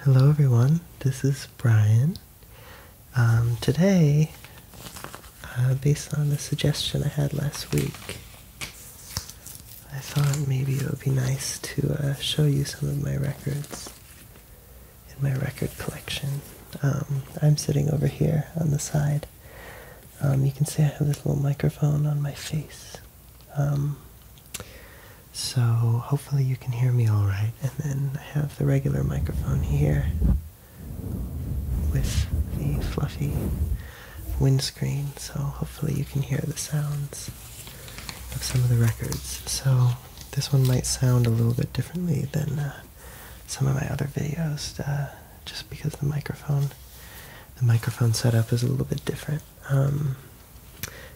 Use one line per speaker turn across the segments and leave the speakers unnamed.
Hello everyone, this is Brian. Um, today, uh, based on the suggestion I had last week, I thought maybe it would be nice to uh, show you some of my records in my record collection. Um, I'm sitting over here on the side. Um, you can see I have this little microphone on my face. So hopefully you can hear me all right. And then I have the regular microphone here with the fluffy windscreen. So hopefully you can hear the sounds of some of the records. So this one might sound a little bit differently than uh, some of my other videos, uh, just because the microphone, the microphone setup is a little bit different. Um,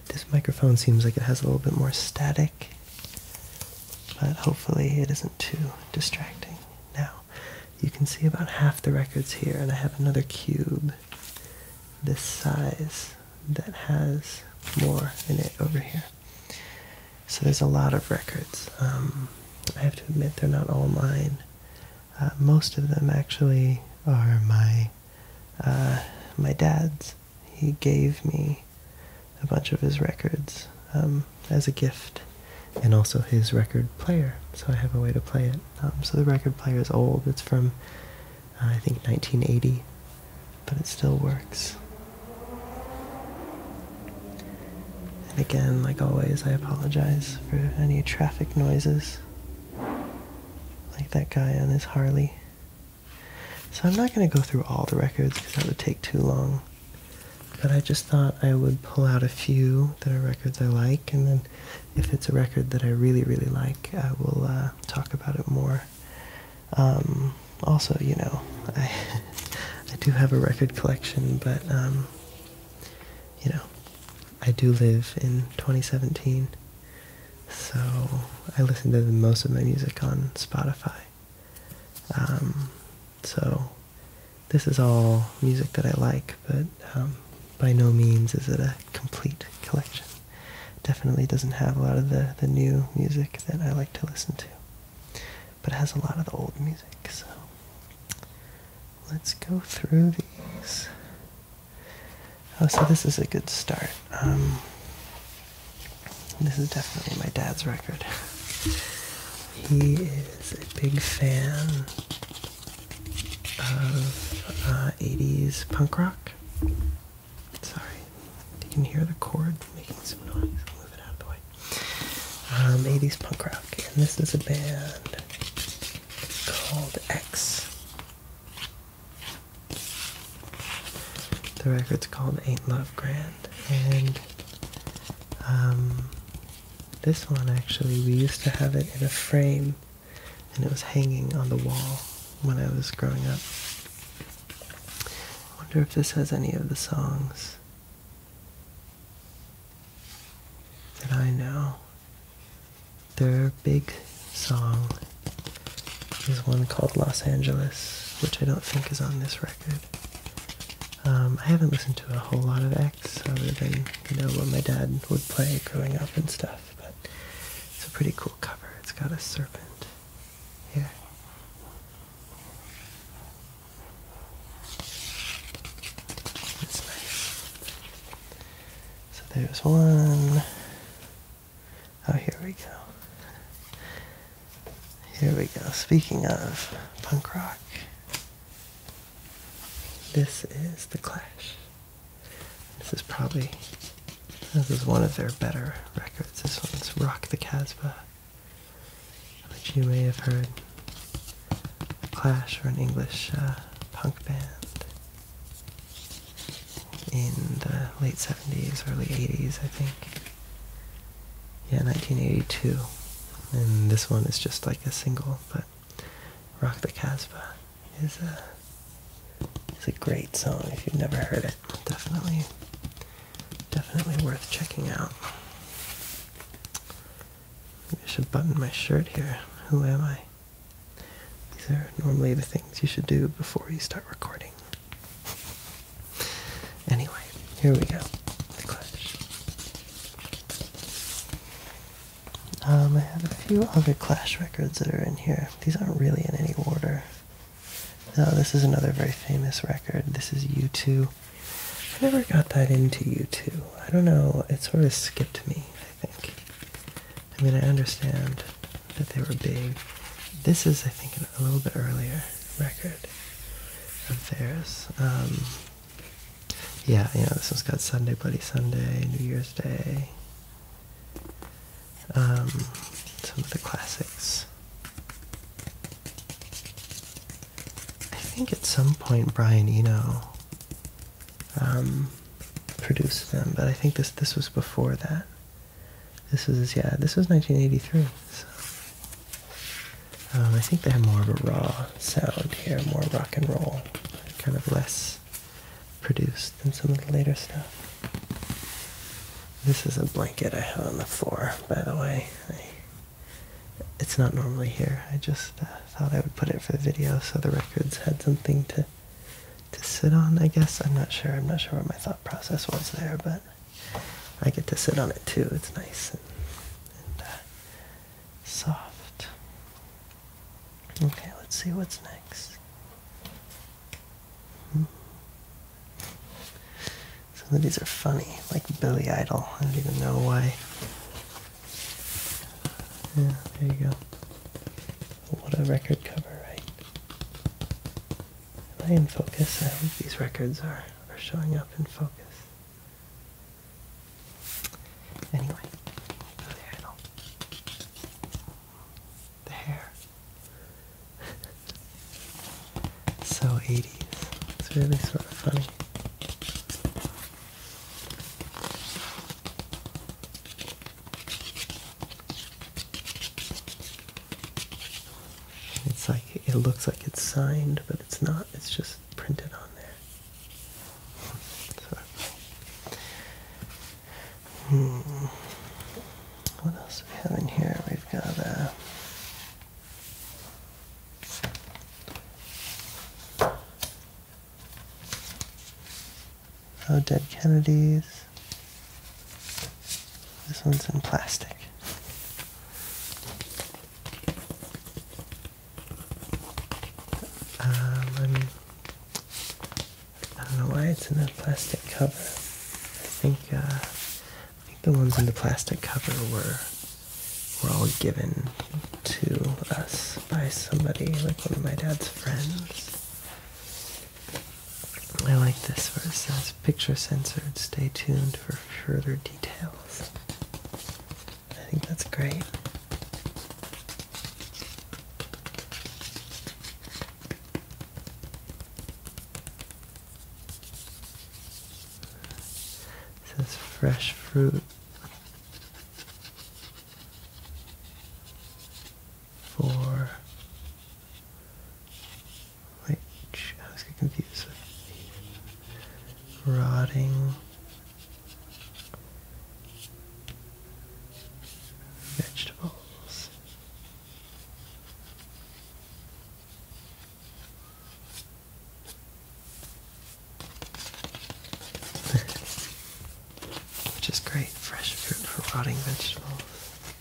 this microphone seems like it has a little bit more static, but hopefully it isn't too distracting. Now, you can see about half the records here, and I have another cube this size that has more in it over here. So there's a lot of records. Um, I have to admit, they're not all mine. Uh, most of them actually are my uh, my dad's. He gave me a bunch of his records um, as a gift, and also his record player. So I have a way to play it. Um, so the record player is old. It's from uh, I think 1980, but it still works. And again, like always, I apologize for any traffic noises, like that guy on his Harley. So I'm not going to go through all the records because that would take too long. But I just thought I would pull out a few that are records I like, and then if it's a record that I really, really like, I will uh, talk about it more. Um, also, you know, I I do have a record collection, but um, you know, I do live in 2017. So I listen to most of my music on Spotify. Um, so this is all music that I like, but um, by no means is it a complete collection. Definitely doesn't have a lot of the, the new music that I like to listen to, but it has a lot of the old music. So let's go through these. Oh, so this is a good start. Um, this is definitely my dad's record. He is a big fan of 80s uh, punk rock. Sorry, you can hear the cord making some noise. I'll move it out of the way. Um, 80s punk rock, and this is a band called X. The record's called Ain't Love Grand, and um, this one actually, we used to have it in a frame, and it was hanging on the wall when I was growing up. wonder if this has any of the songs that I know. Their big song is one called Los Angeles, which I don't think is on this record. Um, I haven't listened to a whole lot of X other than, you know, what my dad would play growing up and stuff, but it's a pretty cool cover. It's got a serpent here. It's nice. So there's one. Oh, here we go. Here we go. Speaking of punk rock, this is The Clash. This is probably, this is one of their better records. This one's Rock the Casbah, which you may have heard. Clash were an English uh, punk band in the late 70s, early 80s, I think. Yeah, 1982. And this one is just like a single, but Rock the Casbah is a, is a great song if you've never heard it. Definitely, definitely worth checking out. I should button my shirt here. Who am I? These are normally the things you should do before you start recording. anyway, here we go. Clash. Um, I have a few other Clash records that are in here. These aren't really in any order. Now, this is another very famous record. This is U2. I never got that into U2. I don't know. It sort of skipped me, I think. I mean, I understand that they were big. This is, I think, a little bit earlier record of theirs. Um, yeah, you know, this one's got Sunday Bloody Sunday, New Year's Day, um, some of the classics. I think at some point Brian Eno um, produced them, but I think this this was before that. This is yeah, this was 1983. Um, I think they have more of a raw sound here, more rock and roll, kind of less produced than some of the later stuff. This is a blanket I had on the floor, by the way. it's not normally here. I just uh, thought I would put it for the video so the records had something to to sit on, I guess. I'm not sure. I'm not sure what my thought process was there, but I get to sit on it too. It's nice and, uh, soft. Okay, let's see what's next. Hmm. Some of these are funny, like Billy Idol. I don't even know why. Yeah, there you go. What a record cover, right? Am I in focus? I hope these records are, are showing up in focus. Anyway, oh, there The hair. so 80s. It's really sort of funny. It's like it looks like it's signed, but it's not. It's just printed on there. hmm. What else we have in here? We've got a. Uh, Oh, Dead Kennedys. This one's in plastic. Um, I don't know why it's in that plastic cover. I think, uh, I think the ones in the plastic cover were were all given to us by somebody, like one of my dad's friends. I like this where it says picture censored. Stay tuned for further details. I think that's great. It says fresh fruit for which I was getting confused rotting vegetables. Which is great, fresh fruit for rotting vegetables.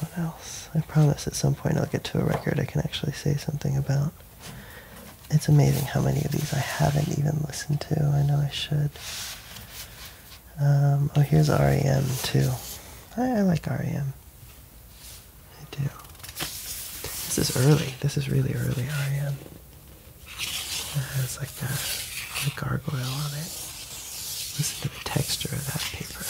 What else? I promise at some point I'll get to a record I can actually say something about. It's amazing how many of these I haven't even listened to. I know I should. Um, oh, here's REM too. I, like REM. I do. This is early. This is really early REM. It has the gargoyle on it. Listen to the texture of that paper.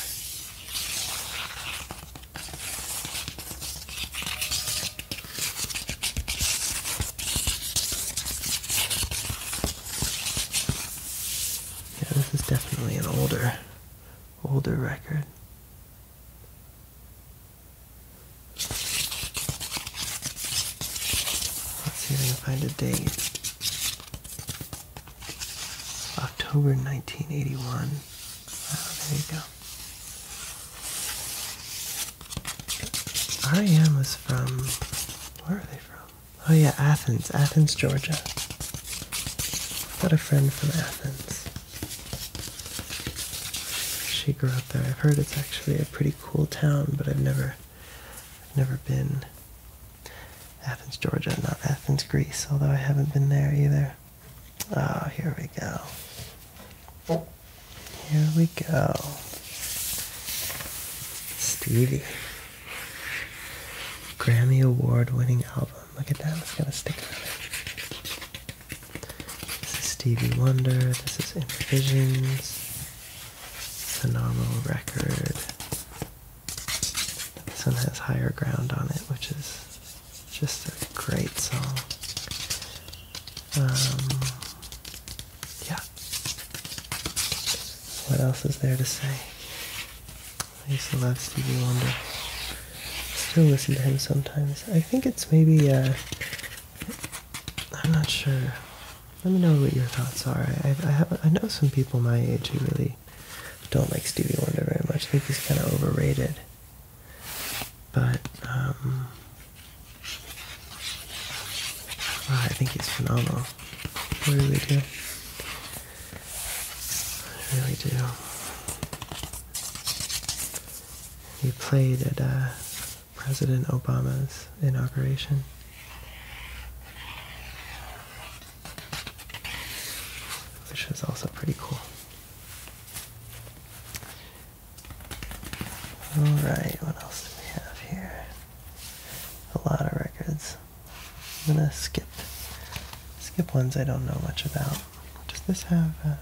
Yeah, this is definitely an older, older record. Let's see if I can find a date. October 1981. Ah, there you go. REM was from, where are they from? Oh yeah, Athens, Athens, Georgia. I've got a friend from Athens. She grew up there. I've heard it's actually a pretty cool town, but I've never, I've never been. Athens, Georgia, not Athens, Greece, although I haven't been there either. Oh, here we go. Here we go. Stevie. Grammy Award winning album. Look at that, it's got a sticker on it. This is Stevie Wonder, this is Improvisions phenomenal record. This one has higher ground on it, which is just a great song. Um, yeah. What else is there to say? I used to love Stevie Wonder. Still listen to him sometimes. I think it's maybe, uh, I'm not sure let me know what your thoughts are. I, I, know some people my age who really don't like Stevie Wonder very much. I think he's kind of overrated. But, um, I think he's phenomenal. I really do. I really do. He played at uh, President Obama's inauguration which is also pretty cool. Alright, what else do we have here? A lot of records. I'm gonna skip skip ones I don't know much about. Does this have uh,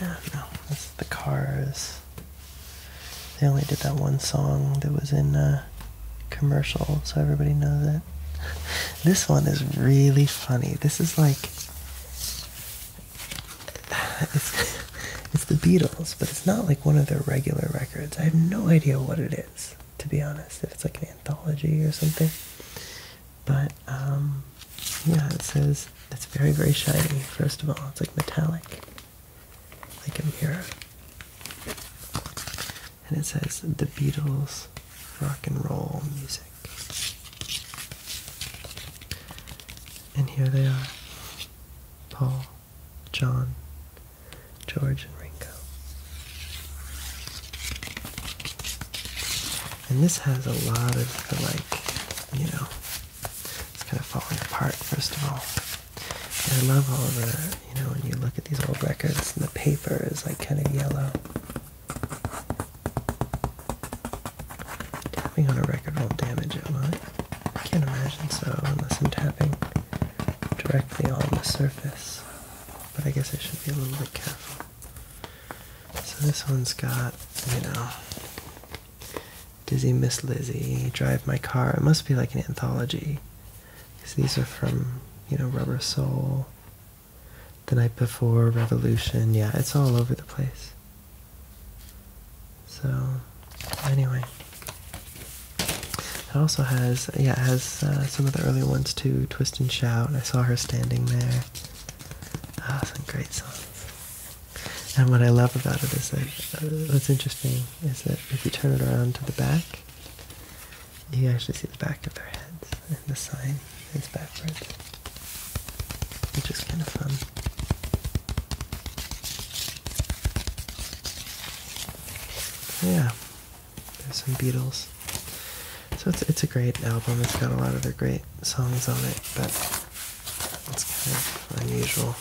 yeah, no, this is the Cars they only did that one song that was in a uh, commercial, so everybody knows it. This one is really funny. This is like it's it's the Beatles, but it's not like one of their regular records. I have no idea what it is, to be honest. If it's like an anthology or something. But um, yeah, it says it's very very shiny. First of all, it's like metallic like a mirror. And it says the Beatles rock and roll music. And here they are Paul, John, George, and Ringo. And this has a lot of the, like, you know, it's kind of falling apart, first of all. I love all the, you know, when you look at these old records and the paper is like kind of yellow. Tapping on a record won't damage it, will it? I can't imagine so, unless I'm tapping directly on the surface. But I guess I should be a little bit careful. So this one's got, you know, Dizzy Miss Lizzy, Drive My Car. It must be like an anthology. these are from, you know, Rubber Soul, The Night Before, Revolution. Yeah, it's all over the place. So, anyway. It also has, yeah, it has uh, some of the early ones too, Twist and Shout. I saw her standing there. Ah, some great songs. And what I love about it is that uh, interesting is that if you turn it around to the back, you actually see the back of their heads, and the sign is backwards, which is kind of fun. yeah, there's some Beatles. So it's it's a great album. It's got a lot of their great songs on it, but it's kind of unusual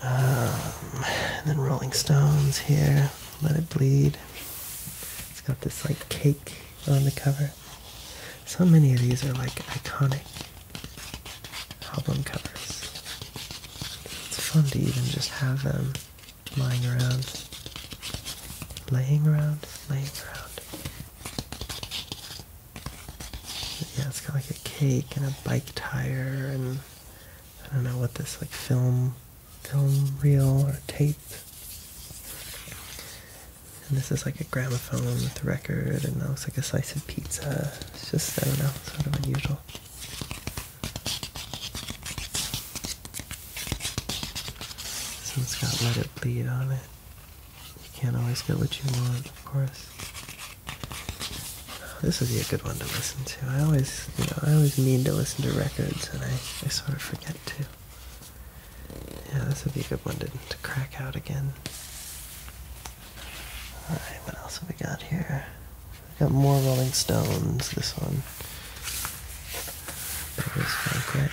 and um, then Rolling Stones here, Let It Bleed. It's got this like cake on the cover. So many of these are like iconic album covers. It's fun to even just have them lying around. Laying around, laying around. Yeah, it's got like a cake and a bike tire and I don't know what this like film film reel or tape. And this is like a gramophone with a record and that looks like a slice of pizza. It's just I don't know, sort of unusual. So it's got Let It Bleed on it. You can't always get what you want, of course. This would be a good one to listen to. I always, you know, I always mean to listen to records, and I, I sort of forget to. Yeah, this would be a good one to, to crack out again. Alright, what else have we got here? We've got more Rolling Stones, this one. That was fun,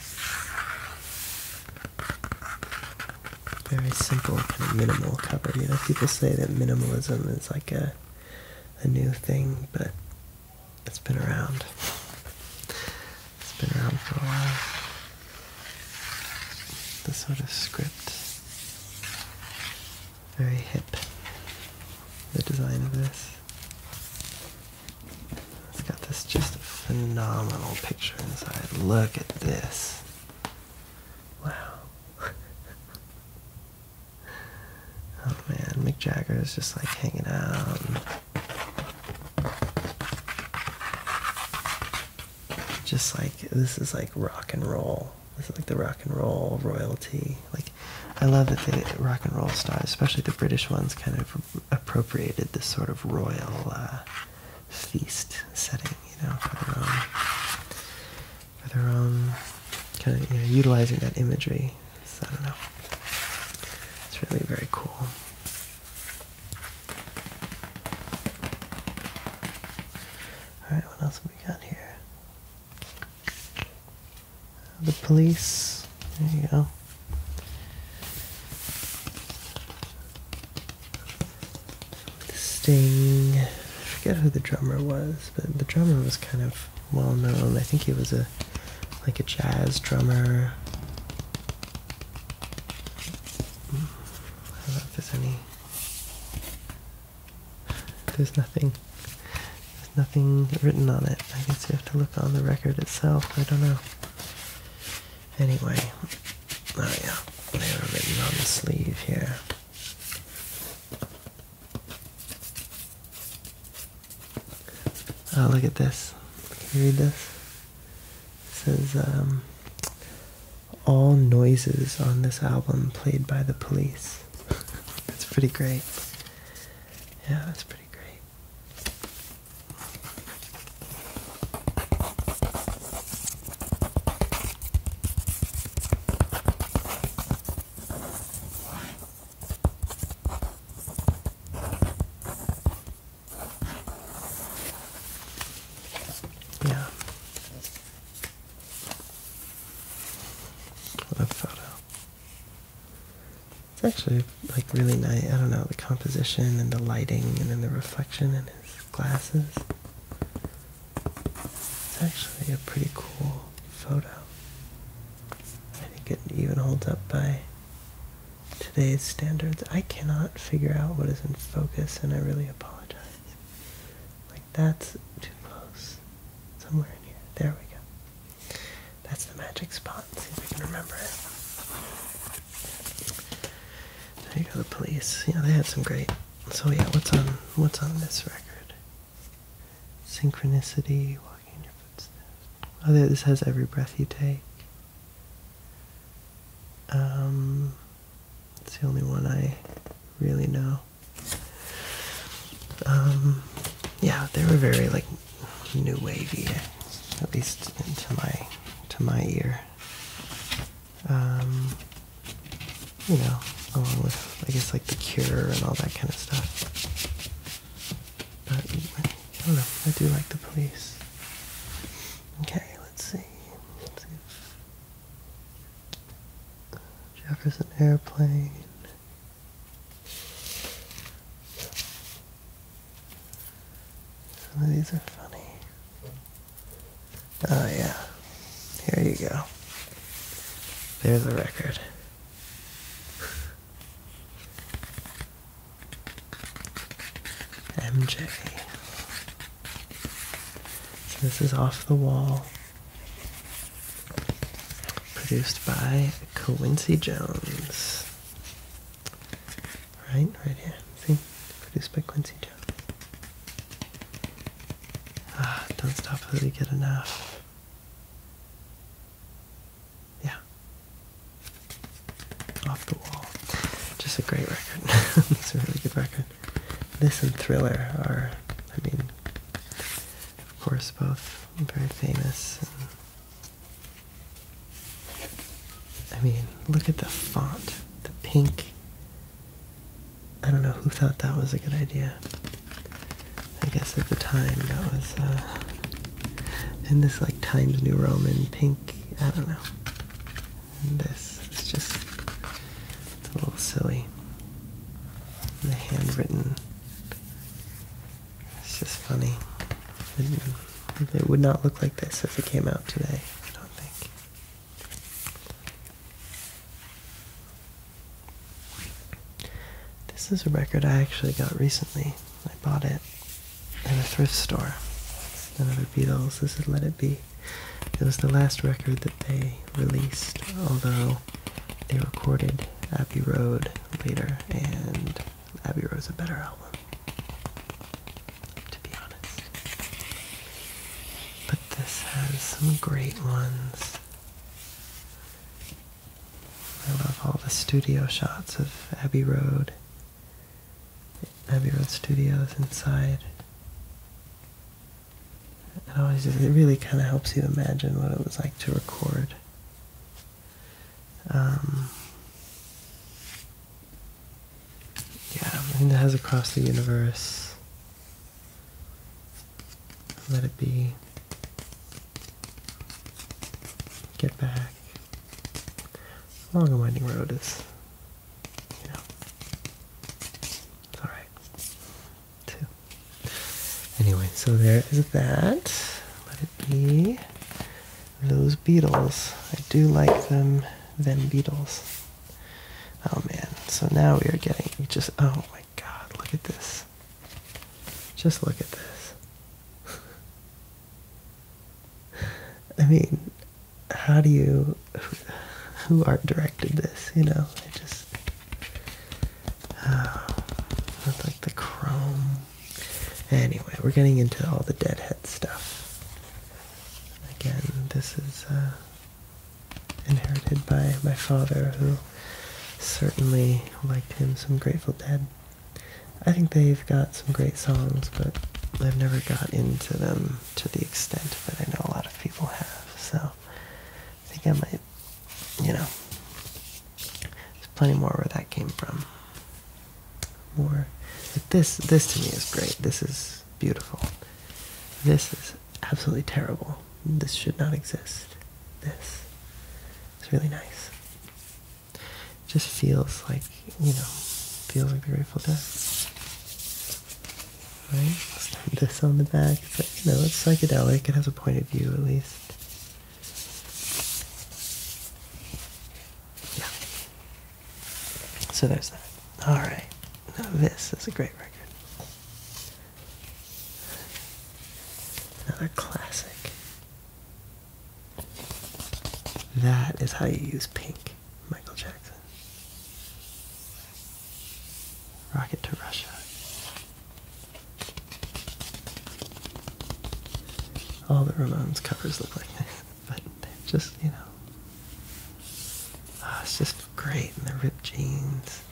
very simple, kind of minimal cover. You know, people say that minimalism is like a a new thing, but it's been around. It's been around for a while. The sort of script, very hip. The design of this. It's got this just phenomenal picture inside. Look at this. Wow. oh man, Mick Jagger is just like hanging out. Just like this is like rock and roll. This is like the rock and roll royalty. Like I love that the rock and roll stars, especially the British ones, kind of appropriated this sort of royal uh, feast setting, you know, for their own, kind of, you know, utilizing that imagery. So, I don't know. It's really very cool. All right, what else have we got here? The police. There you go. Sting. I forget who the drummer was, but the drummer was kind of well known. I think he was a like a jazz drummer. I don't know if there's any. There's nothing. There's nothing written on it. I guess you have to look on the record itself. I don't know. Anyway. Oh yeah, they were written on the sleeve here. Oh, look at this. Can you read this? It says, um, all noises on this album played by the police. that's pretty great. Yeah, that's pretty great. Yeah. What photo. It's actually like really nice. I don't know, the composition and the lighting and then the reflection in his glasses. It's actually a pretty cool photo. I think it even holds up by today's standards. I cannot figure out what is in focus and I really apologize. Like that's too close. Somewhere in here. There we go. That's the magic spot. see if we can remember it. There you go, the police. You know, they had some great so yeah, what's on what's on this record? Synchronicity, walking in your footsteps. Oh, this has every breath you take. Um, it's the only one I really know. Um, yeah, they were very like new wavy, at least to my to my ear um, you know, along with I guess like the Cure and all that kind of stuff. But I don't know. I do like the police. Okay, let's see. Jefferson Airplane. Some of these are funny. Oh, yeah. Here you go. There's a record. MJ. So this is Off the Wall. Produced by Quincy Jones. Right, right here. See? Produced by Quincy Jones. Ah, don't stop until you get enough. Yeah. Off the wall. Just a great record. it's a really good record. This and Thriller are, I mean, of course, both very famous. I mean, look at the font. The pink I don't know who thought that was a good idea. I guess at the time that was uh, in this like Times New Roman pink. I don't know. this is just it's a little silly. And the handwritten. It's just funny. It would not look like this if it came out today. I don't think. This is a record I actually got recently. I bought it at a thrift store. Another Beatles. This is Let It Be. It was the last record that they released, although they recorded Abbey Road later, and Abbey Road is a better album, to be honest this has some great ones. I love all the studio shots of Abbey Road, Abbey Road Studios inside. It always just, it really kind of helps you imagine what it was like to record. Um, yeah, everything it has across the universe. Let it be. Get back. Long a winding road is, you know, it's alright, too. Anyway, so there is that. Let it be. Those Beatles. I do like them, them Beatles. Oh man, so now we are getting just, oh my god, look at this. Just look at this. I mean, how do you, who art directed this, you know? I just, uh, like the chrome. Anyway, we're getting into all the Deadhead stuff. Again, this is, uh, inherited by my father, who certainly liked him some Grateful Dead. I think they've got some great songs, but I've never got into them to the extent that I know a lot of people have. So I think I might, you know, there's plenty more where that came from. More, but this this to me is great. This is beautiful. This is absolutely terrible. This should not exist. This it's really nice. It Just feels like, you know, feels like the Grateful Dead. Right? this on the back. but you know, it's psychedelic. It has a point of view at least. Yeah. So there's that. Alright. No, this is a great record. Another classic. That is how you use pink, Michael Jackson. Rocket to Russia. All the Ramones covers look like this, but they're just, you know, ah, it's just great and the ripped jeans.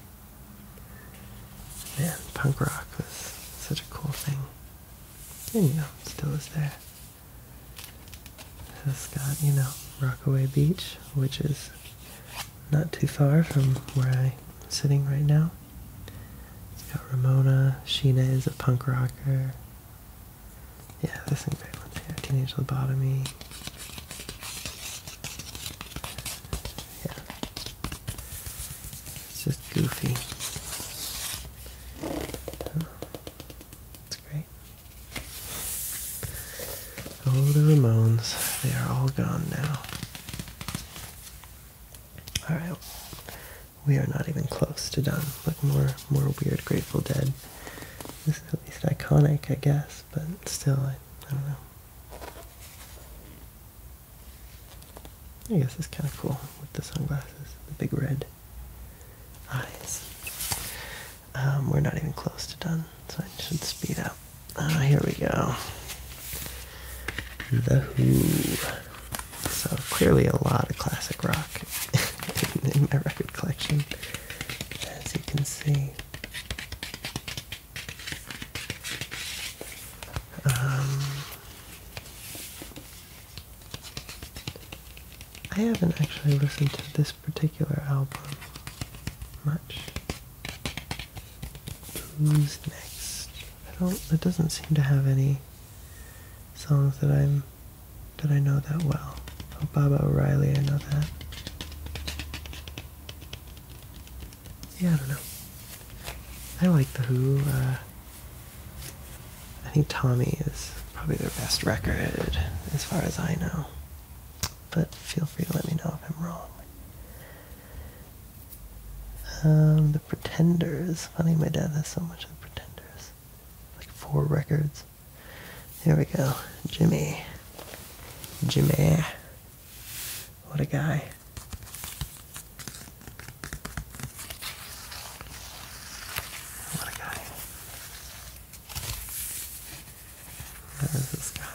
Man, punk rock was such a cool thing. And you know, still is there. This has got, you know, Rockaway Beach, which is not too far from where I'm sitting right now. got Ramona, Sheena is a punk rocker. Yeah, this some great ones here. Teenage Lobotomy. Yeah. It's just goofy. Oh, great. Oh, the Ramones. They are all gone now. Alright. We are not even close to done. Look more more weird Grateful Dead. This is at least iconic, I guess but still, I, don't know. I guess it's kind of cool with the sunglasses, the big red eyes. Um, we're not even close to done, so I should speed up. Uh, here we go. The Who. So clearly a lot of classic rock in my record collection as you can see. Um, I haven't actually listened to this particular album much. Who's next? I don't. It doesn't seem to have any songs that I'm that I know that well. Obama O'Reilly, I know that. Yeah, I don't know. I like The Who. Uh, I think Tommy is probably their best record, as far as I know. But feel free to let me know if I'm wrong. Um, the Pretenders. Funny, my dad has so much of The Pretenders. Like four records. There we go. Jimmy. Jimmy. What a guy. What a guy. Where is this guy?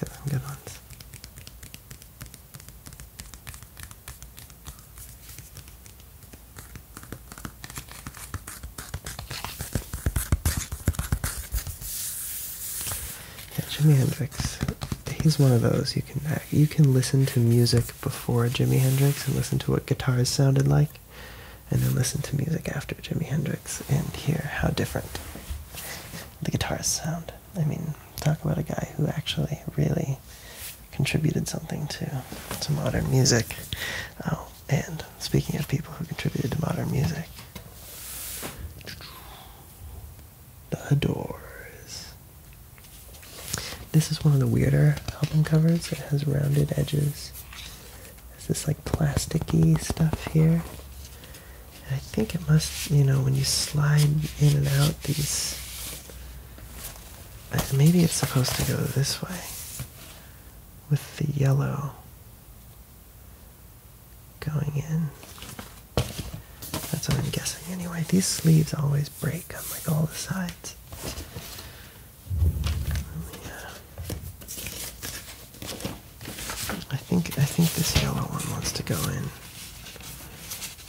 get some good ones. Jimi Hendrix. He's one of those you can you can listen to music before Jimi Hendrix and listen to what guitars sounded like, and then listen to music after Jimi Hendrix and hear how different the guitars sound. I mean, talk about a guy who actually really contributed something to to modern music. Oh, and speaking of people who contributed to modern music, The Doors. This is one of the weirder album covers. It has rounded edges. It's this like plasticky stuff here. I think it must, you know, when you slide in and out these, uh, maybe it's supposed to go this way with the yellow going in. That's what I'm guessing anyway. These sleeves always break on like all the sides. I think I think this yellow one wants to go in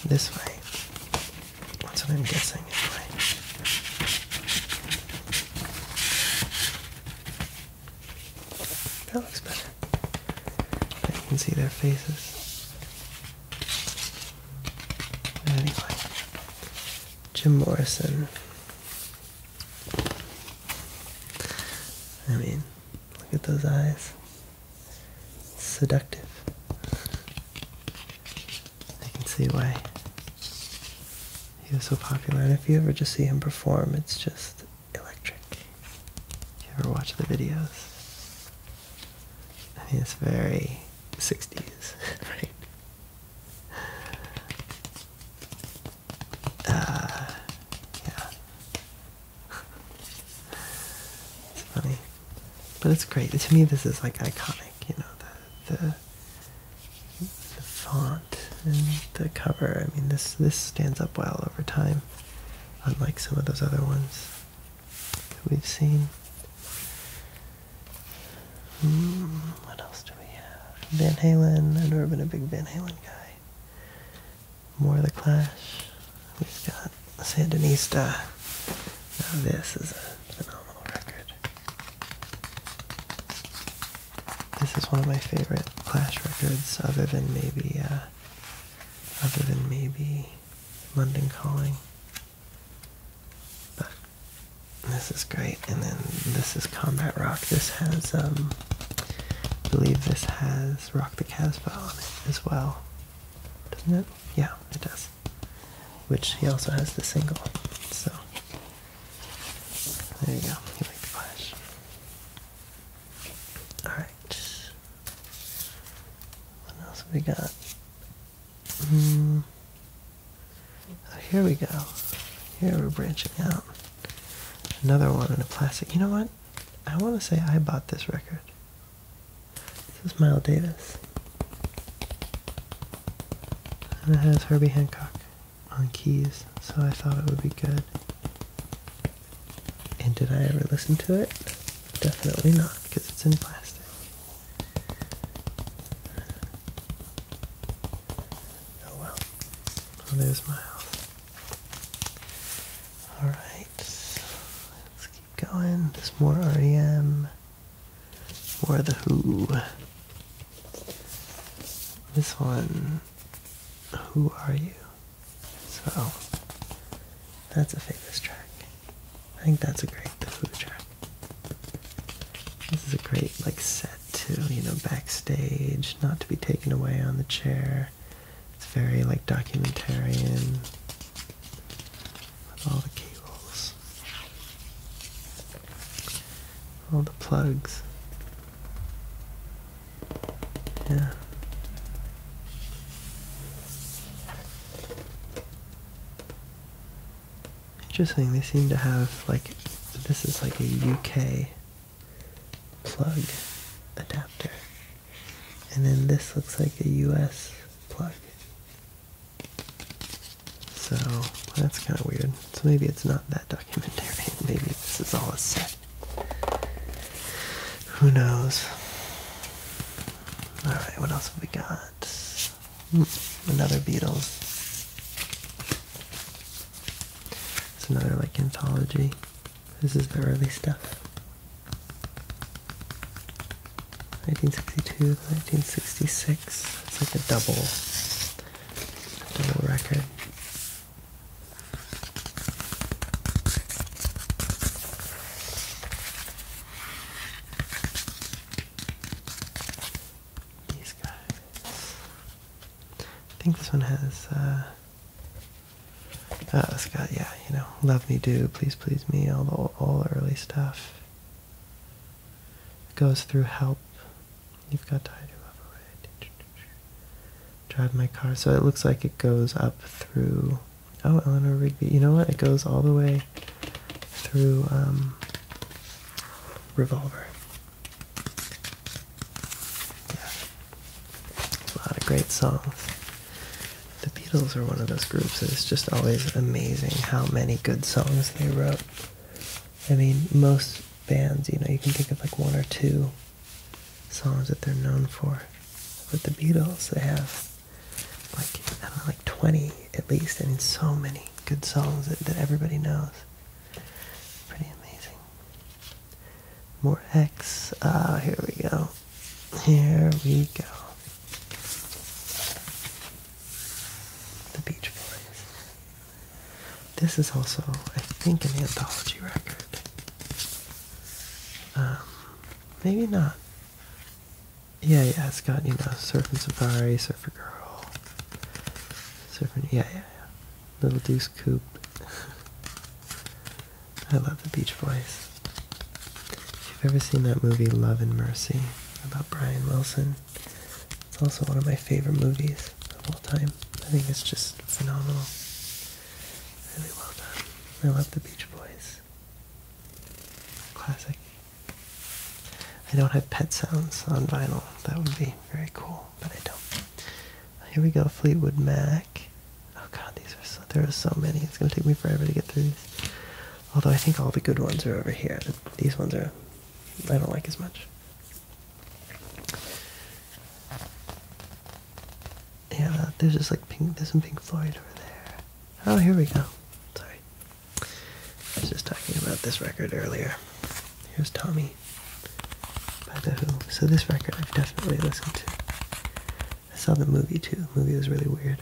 this way. That's what I'm guessing. That looks better. Now you can see their faces. Anyway, Jim Morrison. I mean, look at those eyes. Seductive. I can see why he was so popular. And if you ever just see him perform, it's just electric. If you ever watch the videos, I mean, uh, it's very 60s, right? yeah. funny. But it's great. To me, this is like iconic, you know, the, the the, font and the cover. I mean, this this stands up well over time, unlike some of those other ones that we've seen. Mm, what else do we have? Van Halen. I've never been a big Van Halen guy. More of the Clash. We've got Sandinista. Now this is a phenomenal record. This is one of my favorite Clash records, other than maybe, uh, other than maybe London Calling. But this is great. And then this is Combat Rock. This has, um, I believe this has Rock the Casbah on it as well. Doesn't it? Yeah, it does. Which he also has the single. So there you go. You make the flash. Alright. What else we got? Mm. here we go. Here we're branching out. Another one in a plastic. You know what? I want to say I bought this record. This is Miles Davis. And it has Herbie Hancock on keys, so I thought it would be good. And did I ever listen to it? Definitely not, because it's in plastic. Oh well. there's my Alright. Let's keep going. There's more REM or the Who. This one, Who Are You? So, that's a famous track. I think that's a great Who track. This is a great, like, set, too, you know, backstage, not to be taken away on the chair. It's very, like, documentarian all the cables. All the plugs. Yeah. Interesting, they seem to have like, this is like a UK plug adapter. And then this looks like a US plug. So that's kind of weird. So maybe it's not that documentary. Maybe this is all a set. Who knows? Alright, what else have we got? Mm, another Beatles. It's another like anthology. This is the early stuff. 1962 1966. It's like a double double record. These guys. I think this one has. oh, uh, it's uh, got yeah, you know, love me do, please please me, all the all the early stuff. It goes through help. You've got to Drive my car. So it looks like it goes up through. Oh, Eleanor Rigby. You know what? It goes all the way through um, Revolver. Yeah. A lot of great songs. The Beatles are one of those groups It's just always amazing how many good songs they wrote. I mean, most bands, you know, you can think of like one or two songs that they're known for. But the Beatles, they have like, I don't know, like 20 at least. and so many good songs that, everybody knows. Pretty amazing. More X. Ah, oh, here we go. Here we go. The Beach this is also, I think, an anthology record. Um, maybe not. Yeah, yeah, it's got, you know, Surfing Safari, Surfer Girl, Surfing, yeah, yeah, yeah. Little Deuce Coupe. I love the Beach Boys. If you've ever seen that movie Love and Mercy about Brian Wilson, it's also one of my favorite movies of all time. I think it's just phenomenal. Really well done. I love the Beach Boys. Classic. I don't have pet sounds on vinyl. That would be very cool, but I don't. Here we go, Fleetwood Mac. Oh god, these are so there are so many. It's gonna take me forever to get through these. Although I think all the good ones are over here. These ones are I don't like as much. Yeah, there's just like pink, there's some Pink Floyd over there. Oh, here we go. Sorry. I was just talking about this record earlier. Here's Tommy by The Who. So this record I've definitely listened to. I saw the movie too. The movie was really weird.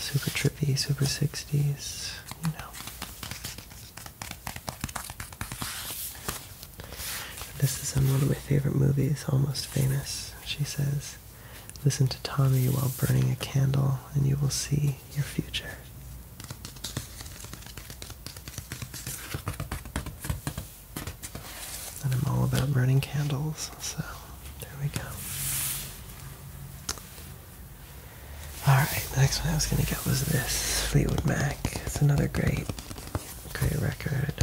Super trippy, super 60s, you know. This is one of my favorite movies, Almost Famous. She says, Listen to Tommy while burning a candle, and you will see your future. And I'm all about burning candles, so there we go. Alright, the next one I was going to get was this Fleetwood Mac. It's another great, great record.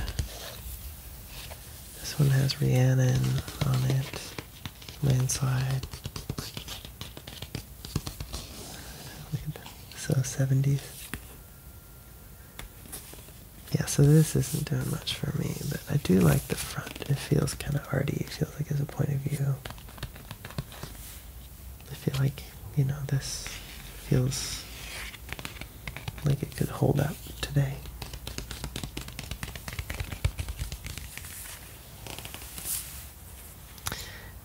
This one has Rhiannon on it, Landslide. So 70s. Yeah, so this isn't doing much for me, but I do like the front. It feels kind of arty. It feels like it's a point of view. I feel like, you know, this feels like it could hold up today.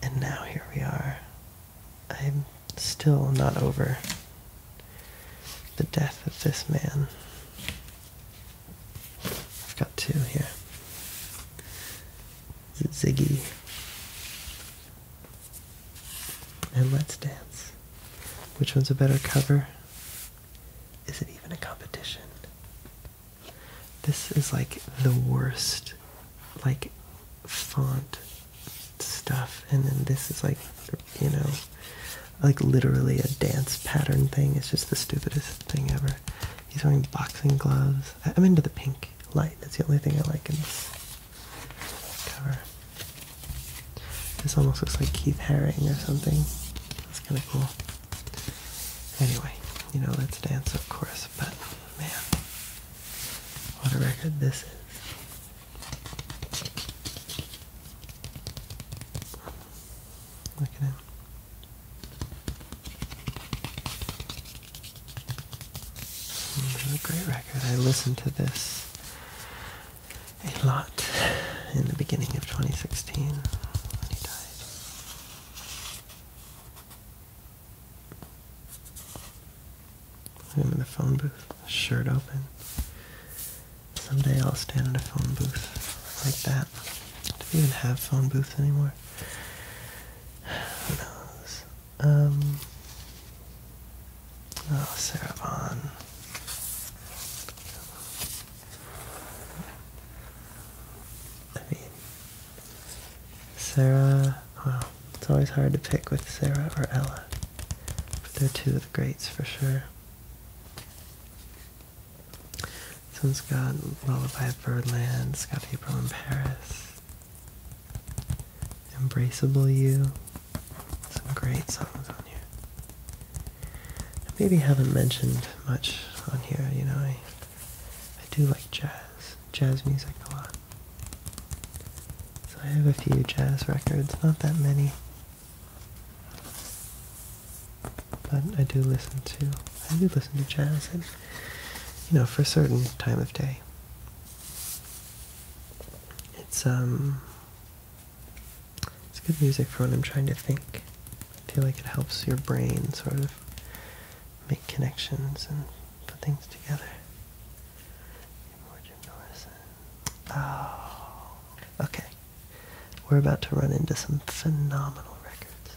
And now here we are. I'm still not over the death of this man. I've got two here. Ziggy, and Let's Dance. Which one's a better cover? Is it even a competition? This is like the worst, like, font stuff, and then this is like, you know, like literally a dance pattern thing. It's just the stupidest thing ever. He's wearing boxing gloves. I'm into the pink light. That's the only thing I like in this cover. This almost looks like Keith Haring or something. That's kind of cool. Anyway, you know, Let's Dance, of course, but man, what a record this is. Look at Another great record. I listened to this a lot in the beginning of 2016 when he died. I'm in the phone booth, shirt open. Someday I'll stand in a phone booth like that. Do we even have phone booths anymore? Who knows? Oh, Sarah Vaughn. I mean, Sarah. Wow, it's always hard to pick with Sarah or Ella. But they're two of the greats for sure. This one's got Lullaby of Birdland, it's got April in Paris, Embraceable You. Some great songs on here. maybe haven't mentioned much on here, you know, I, I do like jazz, jazz music a lot. So I have a few jazz records, not that many. But I do listen to I do listen to jazz. and you know, for a certain time of day. It's um it's good music for when I'm trying to think. I feel like it helps your brain sort of make connections and put things together. Oh, okay. We're about to run into some phenomenal records.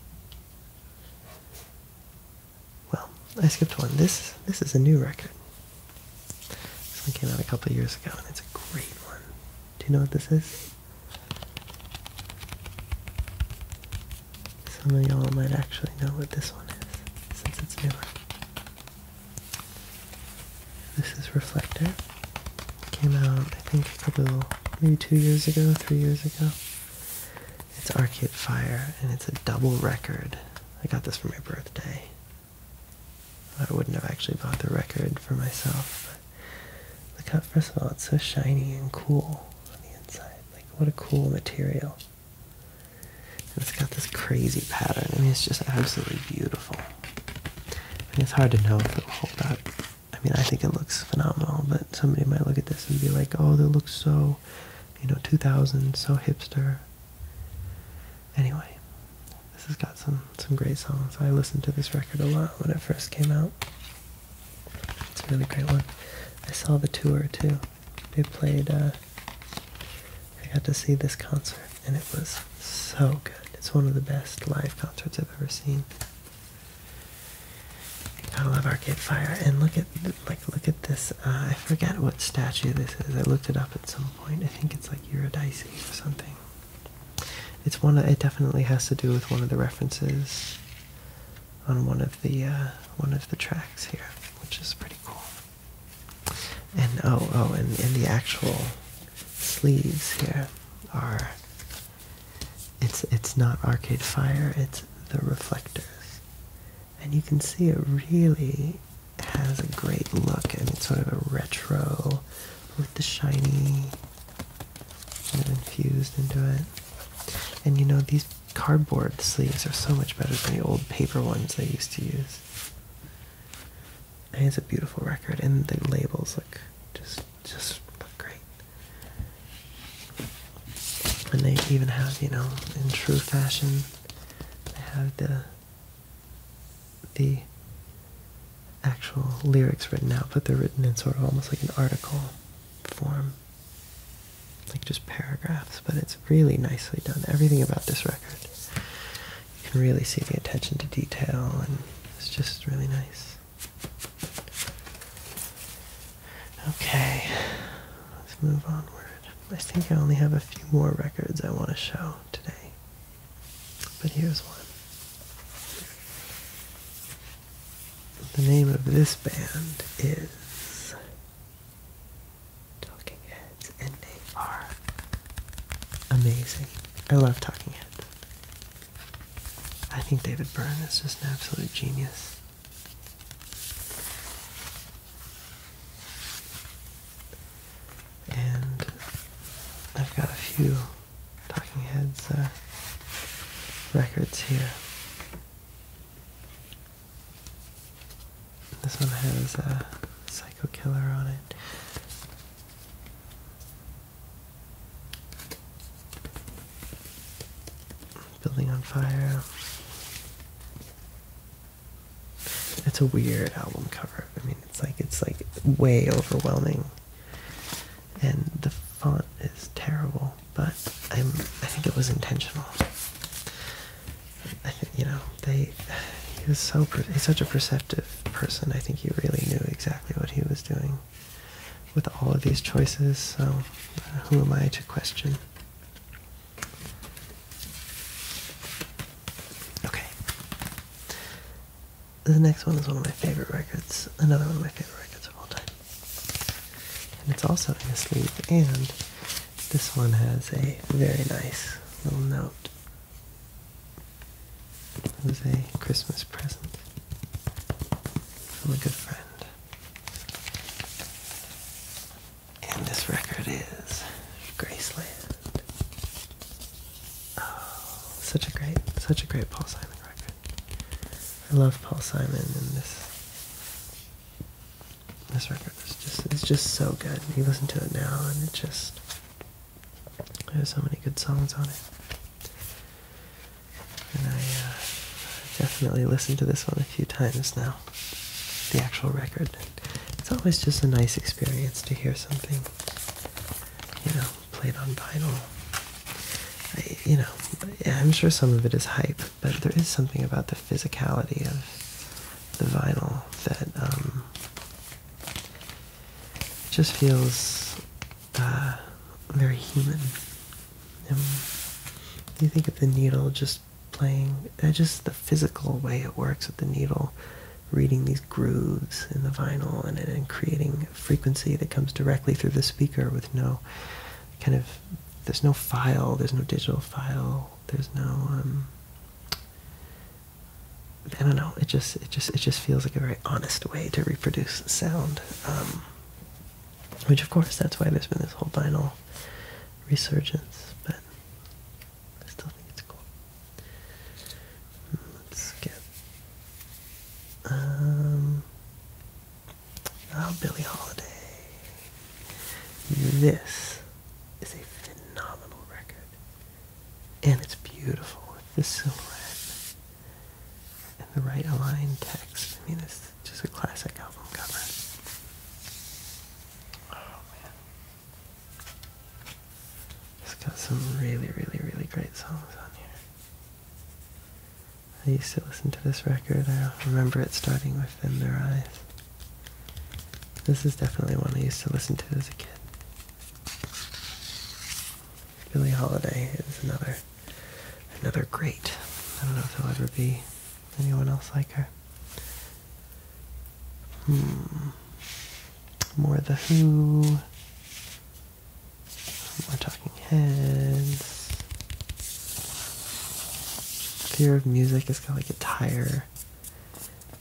Well, I skipped one. This this is a new record. This one came out a couple years ago, and it's a great one. Do you know what this is? Some of y'all might actually know what this one is, since it's newer. This is Reflector. came out, I think, a couple, maybe two years ago, three years ago. It's Arcade Fire, and it's a double record. I got this for my birthday. I wouldn't have actually bought the record for myself. But look how, first of all, it's so shiny and cool on the inside. Like, what a cool material. And it's got this crazy pattern. I mean, it's just absolutely beautiful. it's hard to know if it'll hold up. I mean, I think it looks phenomenal, but somebody might look at this and be like, oh, that looks so you know, 2000, so hipster. Anyway, this has got some, some great songs. I listened to this record a lot when it first came out. It's a really great one. I saw the tour too. They played, uh, I got to see this concert and it was so good. It's one of the best live concerts I've ever seen. I love Arcade Fire. And look at like look at this. Uh, I forget what statue this is. I looked it up at some point. I think it's like Eurydice or something. It's one. it definitely has to do with one of the references on one of the uh, one of the tracks here, which is pretty cool. And oh oh, and, and the actual sleeves here are it's it's not Arcade Fire, it's the reflectors. And you can see it really has a great look and it's sort of a retro with the shiny sort of infused into it. And you know these cardboard sleeves are so much better than the old paper ones they used to use. it's a beautiful record and the labels look just just look great. And they even have, you know, in true fashion, they have the the actual lyrics written out, but they're written in sort of almost like an article form. Like just paragraphs, but it's really nicely done. Everything about this record. You can really see the attention to detail and it's just really nice. Okay, let's move onward. I think I only have a few more records I want to show today. But here's one. The name of this band is Talking Heads, and they are amazing. I love Talking Heads. I think David Byrne is just an absolute genius. And I've got a few Talking Heads uh, records here. This one has a Psycho Killer on it. Building on fire. It's a weird album cover. I mean, it's like it's like way overwhelming, and the font is terrible. But I'm I think it was intentional. I think you know they. He was so he's such a perceptive person. I think he really knew exactly what he was doing with all of these choices. So uh, who am I to question? Okay. The next one is one of my favorite records. Another one of my favorite records of all time. And it's also in a sleeve, and this one has a very nice little note. It was a Christmas present from a good friend. And this record is Graceland. Oh, such a great, such a great Paul Simon record. I love Paul Simon, and this this record is just it's just so good. You listen to it now, and it just there's so many good songs on it and I uh, definitely listened to this one a few times now. The actual record. It's always just a nice experience to hear something, you know, played on vinyl. I, you know, I'm sure some of it is hype, but there is something about the physicality of the vinyl that um, just feels uh, very human. Um, you think of the needle just playing, uh, just the physical way it works with the needle, reading these grooves in the vinyl and, and creating a frequency that comes directly through the speaker with no kind of, there's no file, there's no digital file, there's no, um, I don't know. It just, it just, it just feels like a very honest way to reproduce sound. Um, which, of course, that's why there's been this whole vinyl resurgence, but I still think it's cool. Let's skip. Um, oh, Billie Holiday. This is a phenomenal record. And it's beautiful with the silhouette and the right aligned text. I mean, this just a classic album cover. Oh, it's got some really, really, really great songs on here. I used to listen to this record. I remember it starting with In Their Eyes. This is definitely one I used to listen to as a kid. Billie Holiday is another another great. I don't know if they will ever be Anyone else like her? Hmm. More the Who. More Talking Heads. Fear of Music has got like a tire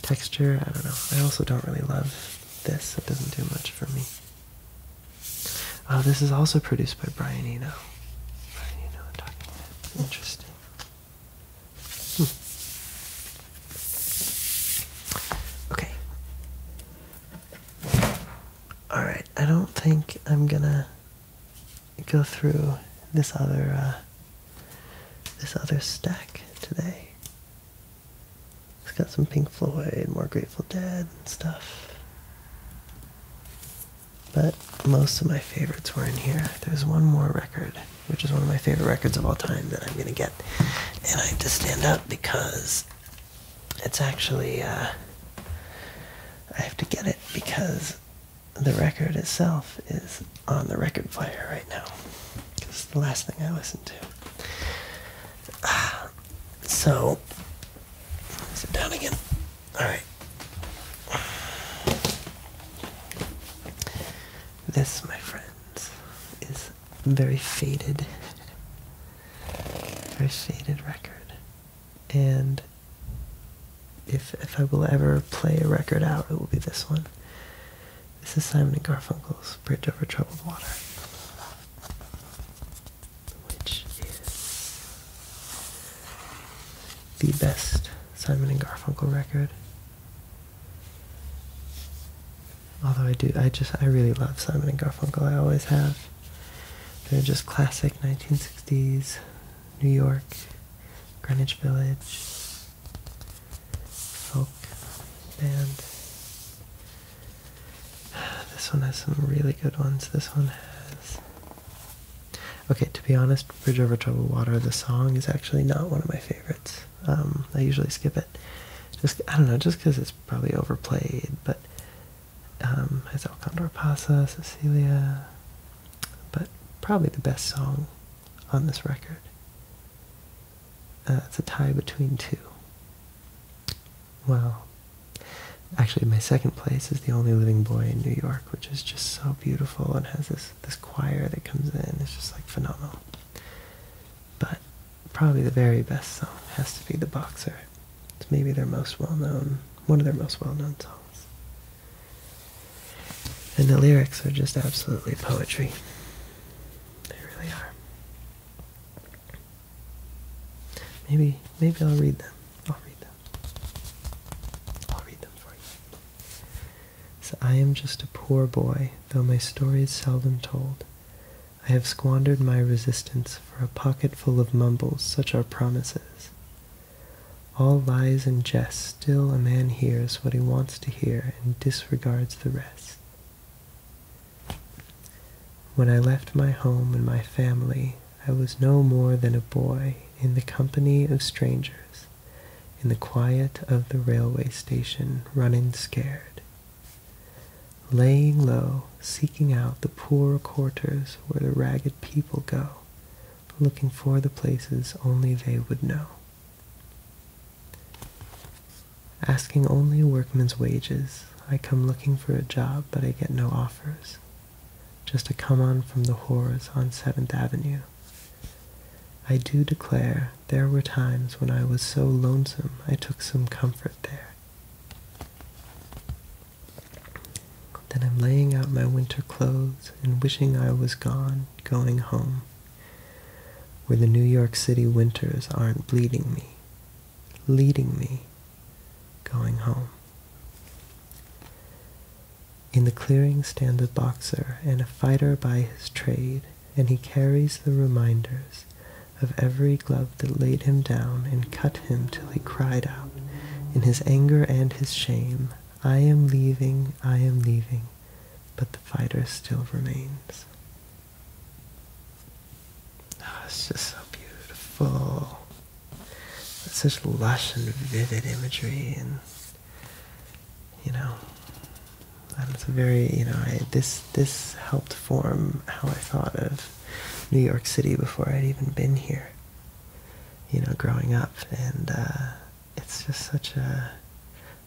texture. I don't know. I also don't really love this. It doesn't do much for me. Uh, this is also produced by Brian Eno. Brian Eno I'm talking about. Interesting. Hmm. Okay. Alright, I don't think I'm gonna go through this other uh, this other stack today. It's got some Pink Floyd, more Grateful Dead and stuff. But most of my favorites were in here. There's one more record, which is one of my favorite records of all time that I'm going to get. And I have to stand up because it's actually, uh, I have to get it because the record itself is on the record player right now. It's the last thing I listened to. Ah, so, sit down again. All right. This, my friends, is very faded, very faded record, and if if I will ever play a record out, it will be this one. This is Simon and Garfunkel's "Bridge Over Troubled Water," which is the best Simon and Garfunkel record. Although I do, I just, I really love Simon and Garfunkel. I always have. They're just classic 1960s New York, Greenwich Village, folk band. This one has some really good ones. This one has Okay, to be honest, Bridge Over Troubled Water, the song, is actually not one of my favorites. Um, I usually skip it. Just I don't know, just because it's probably overplayed, but um, it's El Condor Pasa, Cecilia, but probably the best song on this record. Uh, it's a tie between two. Well, Actually, my second place is the only living boy in New York, which is just so beautiful and has this this choir that comes in. It's just like phenomenal. But probably the very best song has to be The Boxer. It's maybe their most well-known, one of their most well-known songs. And the lyrics are just absolutely poetry. They really are. Maybe maybe I'll read them. I'll read them. I'll read them for you. So I am just a poor boy, though my story is seldom told. I have squandered my resistance for a pocketful of mumbles, such are promises. All lies and jests, still a man hears what he wants to hear and disregards the rest. When I left my home and my family, I was no more than a boy in the company of strangers, in the quiet of the railway station, running scared. Laying low, seeking out the poorer quarters where the ragged people go, looking for the places only they would know. Asking only a workman's wages, I come looking for a job, but I get no offers just to come on from the horrors on 7th Avenue. I do declare there were times when I was so lonesome I took some comfort there. Then I'm laying out my winter clothes and wishing I was gone, going home, where the New York City winters aren't bleeding me, leading me, going home. In the clearing stands a boxer and a fighter by his trade, and he carries the reminders of every glove that laid him down and cut him till he cried out in his anger and his shame, I am leaving, I am leaving, but the fighter still remains. Oh, ah, it's just so beautiful. It's such lush and vivid imagery, and you know, and it's a very you know, this this helped form how I thought of New York City before I'd even been here. You know, growing up, and uh, it's just such a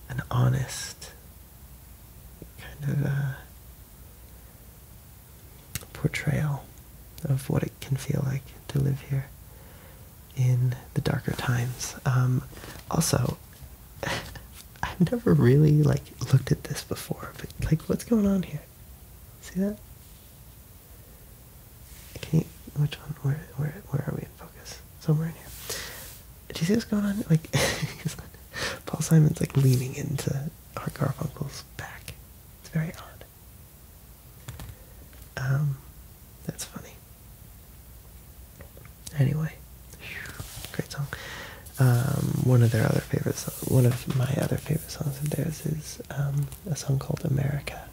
an honest kind of. Uh, portrayal of what it can feel like to live here in the darker times. Um, also, I've never really like looked at this before, but like, what's going on here? See that? Can Which one? Where? Where? Where are we in focus? Somewhere in here. Do you see what's going on? Like, Paul Simon's like leaning into Art Garfunkel's back. It's very odd. Um, that's funny. Anyway, great song. Um, one of their other favorite, songs, one of my other favorite songs of theirs is um, a song called America,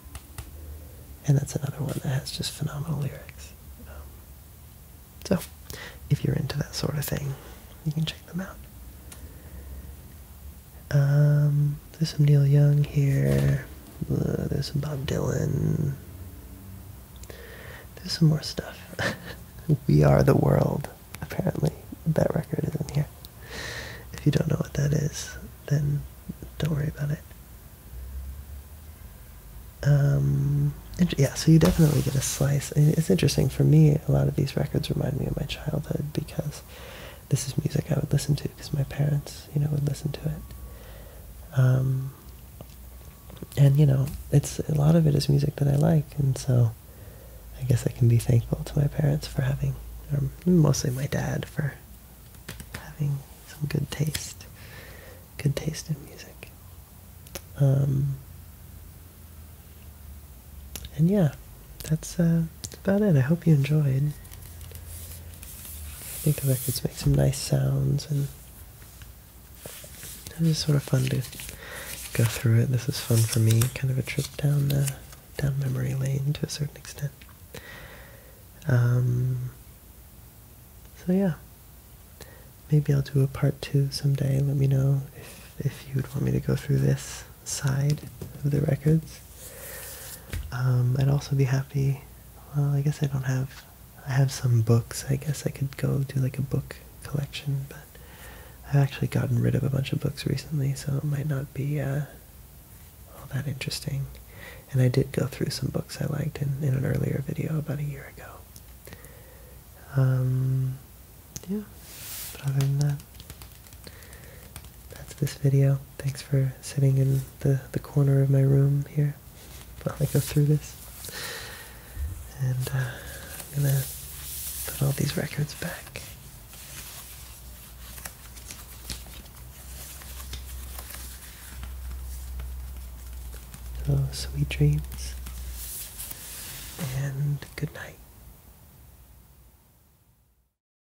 and that's another one that has just phenomenal lyrics. Um, so, if you're into that sort of thing, you can check them out. Um, there's some Neil Young here. Uh, there's some Bob Dylan. There's some more stuff. we Are the World, apparently. That record is in here. If you don't know what that is, then don't worry about it. Um, yeah, so you definitely get a slice. it's interesting for me, a lot of these records remind me of my childhood because this is music I would listen to because my parents, you know, would listen to it. Um, and you know, it's a lot of it is music that I like, and so I guess I can be thankful to my parents for having, mostly my dad for having some good taste, good taste in music. Um, and yeah, uh, that's, about it. I hope you enjoyed. I think the records make some nice sounds, and it was sort of fun to go through it. This is fun for me, kind of a trip down uh, down memory lane to a certain extent. Um, so yeah, maybe I'll do a part two someday. Let me know if if you'd want me to go through this side of the records. Um, I'd also be happy. Well, I guess I don't have. I have some books. I guess I could go do like a book collection, but I've actually gotten rid of a bunch of books recently, so it might not be uh, all that interesting. And I did go through some books I liked in, in an earlier video about a year ago. Um, yeah, but other than that, that's this video. Thanks for sitting in the, the corner of my room here while I go through this. And uh, I'm going to put all these records back. So, oh, sweet dreams and good night.